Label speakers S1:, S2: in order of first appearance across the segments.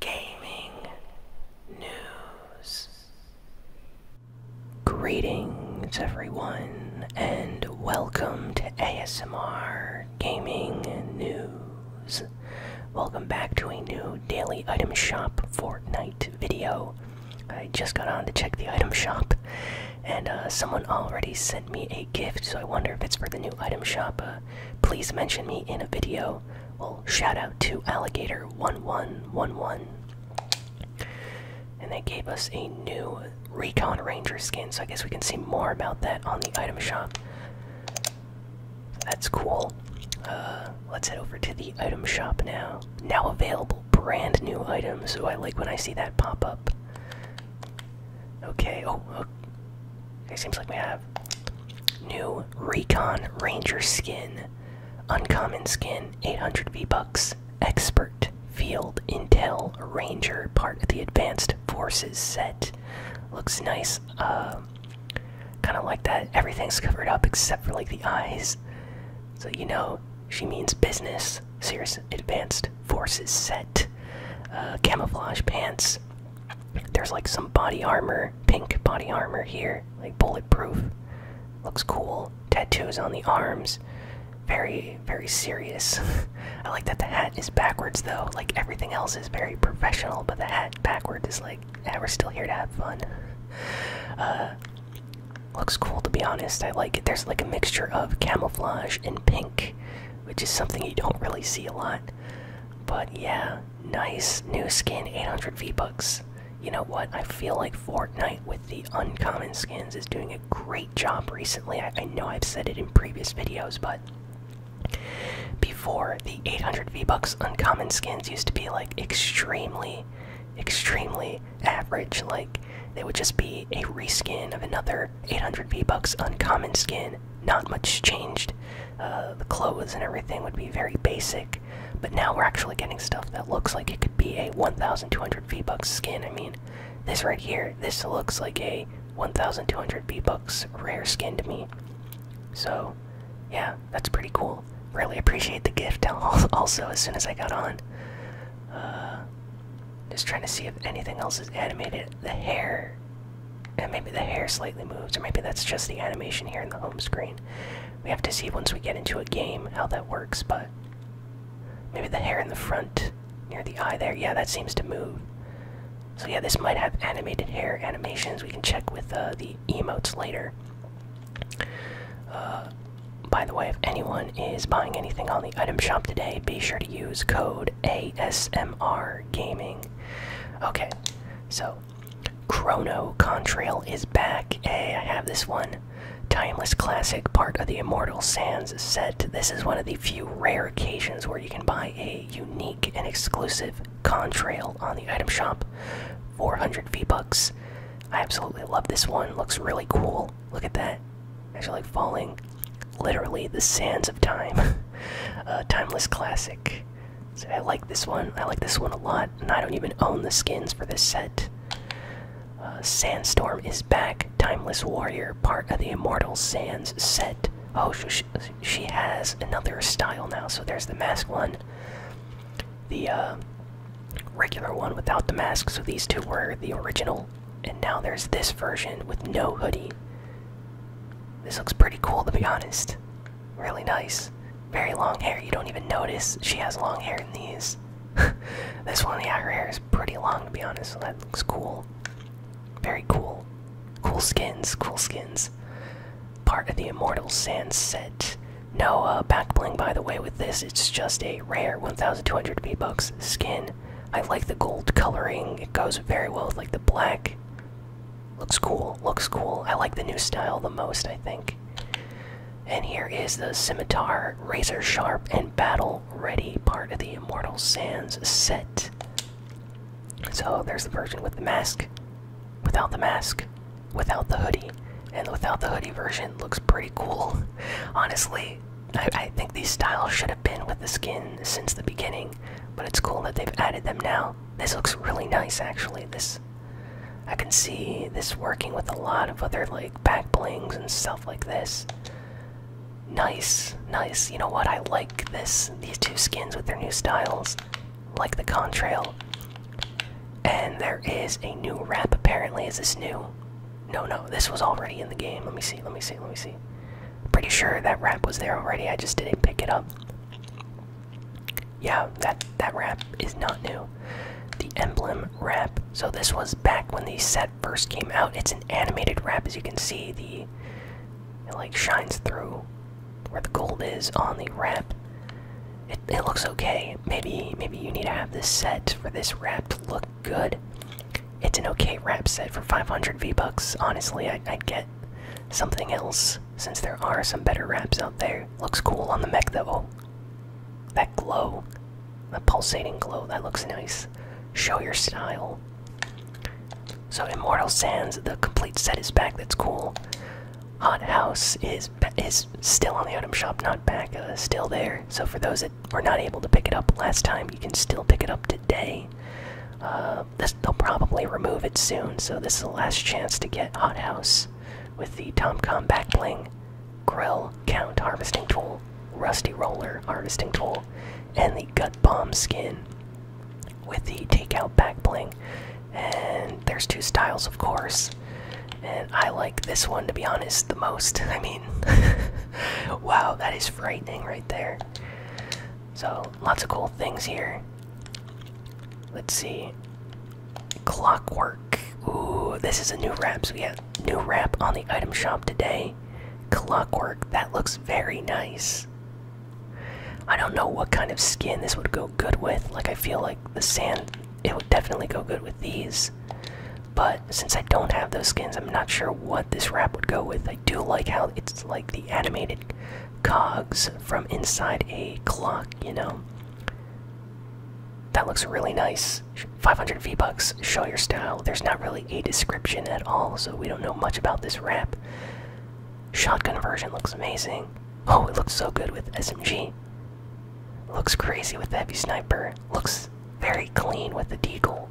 S1: gaming news. Greetings, everyone, and welcome to ASMR Gaming News. Welcome back to a new daily item shop Fortnite video. I just got on to check the item shop, and uh, someone already sent me a gift, so I wonder if it's for the new item shop. Uh, please mention me in a video well, shout out to Alligator1111. And they gave us a new Recon Ranger skin, so I guess we can see more about that on the item shop. That's cool. Uh, let's head over to the item shop now. Now available brand new items, so I like when I see that pop up. Okay, oh, oh it seems like we have new Recon Ranger skin, uncommon skin, 800 V bucks, expert field intel ranger, part of the advanced forces set. Looks nice. Uh, kind of like that. Everything's covered up except for like the eyes. So you know she means business. Serious advanced forces set. Uh, camouflage pants. There's like some body armor, pink body armor here, like bulletproof. Looks cool. Tattoos on the arms. Very, very serious. I like that the hat is backwards though. Like everything else is very professional, but the hat backwards is like, we're still here to have fun. Uh, looks cool to be honest. I like it. There's like a mixture of camouflage and pink, which is something you don't really see a lot. But yeah, Nice new skin, 800 V-Bucks. You know what? I feel like Fortnite with the uncommon skins is doing a great job recently. I, know I've said it in previous videos, but before the 800 V-Bucks uncommon skins used to be like extremely, extremely average. Like they would just be a reskin of another 800 V-Bucks uncommon skin. Not much changed. Uh, the clothes and everything would be very basic. But now we're actually getting stuff that looks like it could be a 1,200 V Bucks skin. I mean, this right here, this looks like a 1,200 V Bucks rare skin to me. So, yeah, that's pretty cool. Really appreciate the gift also as soon as I got on. Uh, just trying to see if anything else is animated. The hair and maybe the hair slightly moves, or maybe that's just the animation here in the home screen. We have to see once we get into a game how that works, but maybe the hair in the front near the eye there, yeah, that seems to move. So, yeah, this might have animated hair animations. We can check with uh, the emotes later. Uh, by the way, if anyone is buying anything on the item shop today, be sure to use code ASMR Gaming. Okay, so, Chrono Contrail is back. Hey, I have this one. Timeless classic, part of the Immortal Sands set. This is one of the few rare occasions where you can buy a unique and exclusive Contrail on the item shop. 400 V-Bucks. I absolutely love this one. Looks really cool. Look at that. Actually, like falling literally the sands of time a timeless classic so i like this one i like this one a lot and i don't even own the skins for this set uh, sandstorm is back timeless warrior part of the immortal sands set oh she, has another style now so there's the mask one the uh, regular one without the mask so these two were the original and now there's this version with no hoodie this looks pretty cool to be honest. Really nice. Very long hair. You don't even notice she has long hair in these. this one, the her hair is pretty long to be honest, so that looks cool. Very cool. Cool skins, cool skins. Part of the Immortal Sand set. No uh, back bling, by the way, with this. It's just a rare 1200 V-Bucks skin. I like the gold coloring. It goes very well with like the black Looks cool, looks cool. I like the new style the most, I think. And here is the scimitar, razor sharp, and battle ready part of the Immortal Sands set. So there's the version with the mask, without the mask, without the hoodie. And without the hoodie version looks pretty cool. Honestly, I, think these styles should have been with the skin since the beginning but it's cool that they've added them now. This looks really nice, actually. This I can see this working with a lot of other like back blings and stuff like this. Nice, nice. You know what? I like this. These two skins with their new styles, like the contrail. And there is a new wrap. Apparently, is this new? No, no. This was already in the game. Let me see. Let me see. Let me see. Pretty sure that wrap was there already. I just didn't pick it up. Yeah, that that wrap is not new. The emblem wrap. So this was back when the set first came out. It's an animated wrap, as you can see. The it like shines through where the gold is on the wrap. It, it looks okay. Maybe maybe you need to have this set for this wrap to look good. It's an okay rap set for 500 V-Bucks. Honestly, I, would get something else since there are some better wraps out there. Looks cool on the mech though. That glow, the pulsating glow, that looks nice. Show your style. So Immortal Sands, the complete set is back. That's cool. Hot House is is still on the item shop, not back, uh, still there. So for those that were not able to pick it up last time, you can still pick it up today. Uh, they'll probably remove it soon, so this is the last chance to get Hothouse with the Tomcom backbling, Grill Count Harvesting Tool, Rusty Roller Harvesting Tool, and the Gut Bomb skin with the Takeout backbling. And there's two styles, of course. And I like this one, to be honest, the most. I mean, wow, that is frightening right there. So, lots of cool things here. Let's see. Clockwork. Ooh, this is a new wrap. So, we have new wrap on the item shop today. Clockwork. That looks very nice. I don't know what kind of skin this would go good with. Like, I feel like the sand, it would definitely go good with these. But since I don't have those skins, I'm not sure what this wrap would go with. I do like how it's like the animated cogs from inside a clock, you know? That looks really nice. 500 V-Bucks, show your style. There's not really a description at all, so we don't know much about this wrap. Shotgun version looks amazing. Oh, it looks so good with SMG. Looks crazy with the heavy sniper. Looks very clean with the deagle.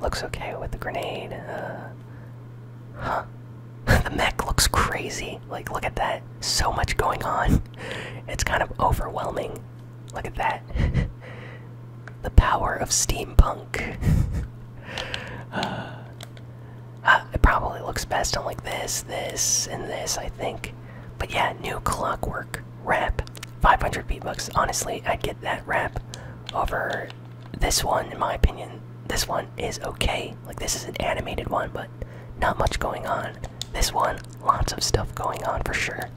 S1: Looks okay with the grenade. Uh, huh. the mech looks crazy. Like, look at that. So much going on. It's kind of overwhelming. Look at that. the power of steampunk. Uh, uh, it probably looks best on like this, this, and this, I think. But yeah, new clockwork wrap 500 beatbox. honestly i get that wrap over this one in my opinion this one is okay like this is an animated one but not much going on this one lots of stuff going on for sure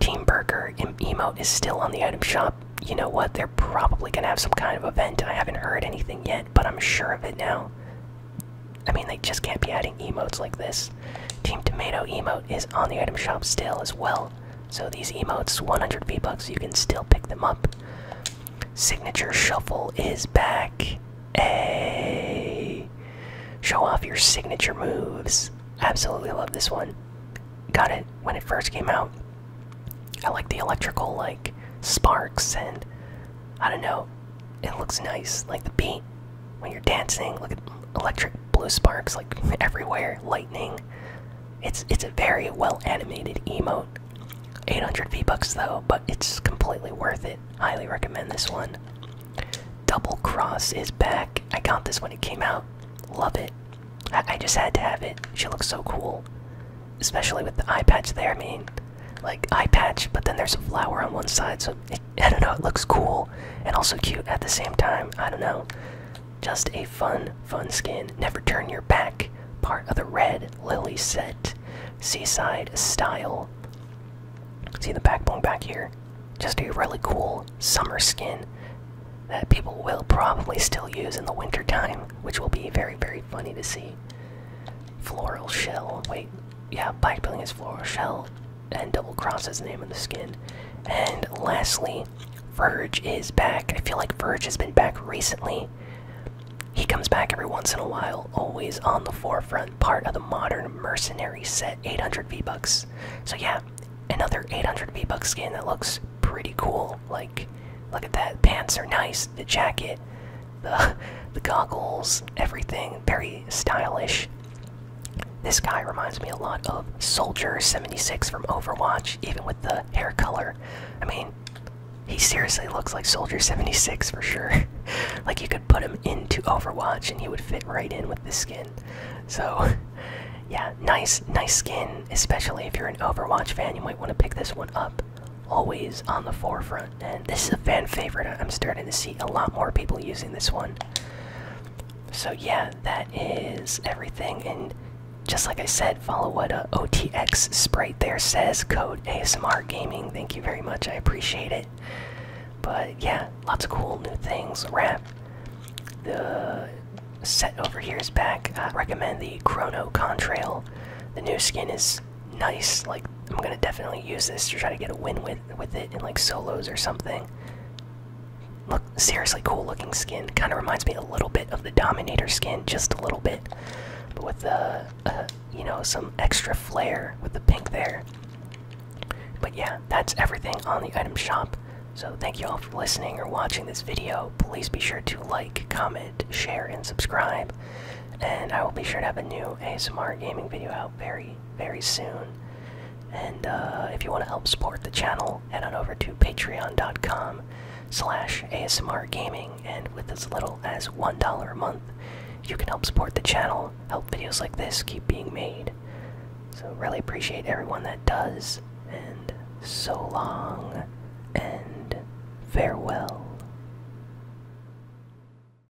S1: team burger em emote is still on the item shop you know what they're probably gonna have some kind of event i haven't heard anything yet but i'm sure of it now i mean they just can't be adding emotes like this Team Tomato emote is on the item shop still as well. So these emotes, 100 V-Bucks, you can still pick them up. Signature Shuffle is back. A, Show off your signature moves. Absolutely love this one. Got it when it first came out. I like the electrical, like, sparks and I don't know. It looks nice. Like the beat when you're dancing look at electric blue sparks like everywhere lightning it's it's a very well animated emote 800 v bucks though but it's completely worth it highly recommend this one double cross is back i got this when it came out love it i, just had to have it she looks so cool especially with the eye patch there i mean like eye patch but then there's a flower on one side so I don't know, it looks cool and also cute at the same time. I don't know. Just a fun, fun skin. Never turn your back. Part of the red lily set. Seaside style. See the backbone back here? Just a really cool summer skin that people will probably still use in the wintertime, which will be very, very funny to see. Floral shell. Wait, yeah, bike building is floral shell and double crosses the name in the skin. And lastly, Verge is back. I feel like Verge has been back recently. He comes back every once in a while, always on the forefront, part of the modern mercenary set, 800 V-Bucks. So yeah, another 800 V-Bucks skin that looks pretty cool. Like, look at that. Pants are nice, the jacket, the, the goggles, everything. Very stylish. This guy reminds me a lot of Soldier 76 from Overwatch, even with the hair color. I mean, he seriously looks like Soldier 76 for sure. like, you could put him into Overwatch and he would fit right in with this skin. So, yeah, nice, nice skin, especially if you're an Overwatch fan. You might want to pick this one up. Always on the forefront. And this is a fan favorite. I'm starting to see a lot more people using this one. So yeah, that is everything. And just like I said, follow what uh, OTX Sprite there says. Code ASMR Gaming. Thank you very much. I appreciate it. But yeah, lots of cool new things. Wrap. The set over here is back. I recommend the Chrono Contrail. The new skin is nice. Like I'm gonna definitely use this to try to get a win-win with it in like solos or something. Look, seriously cool looking skin. Kind of reminds me a little bit of the Dominator skin, just a little bit, but with the uh, you know some extra flair with the pink there. But yeah, that's everything on the item shop. So thank you all for listening or watching this video. Please be sure to like, comment, share, and subscribe. And I will be sure to have a new ASMR gaming video out very very, soon. And uh, if you want to help support the channel, head on over to patreon.com slash ASMR Gaming, and with as little as $1 a month, you can help support the channel, help videos like this keep being made. So really appreciate everyone that does, and so long, and farewell.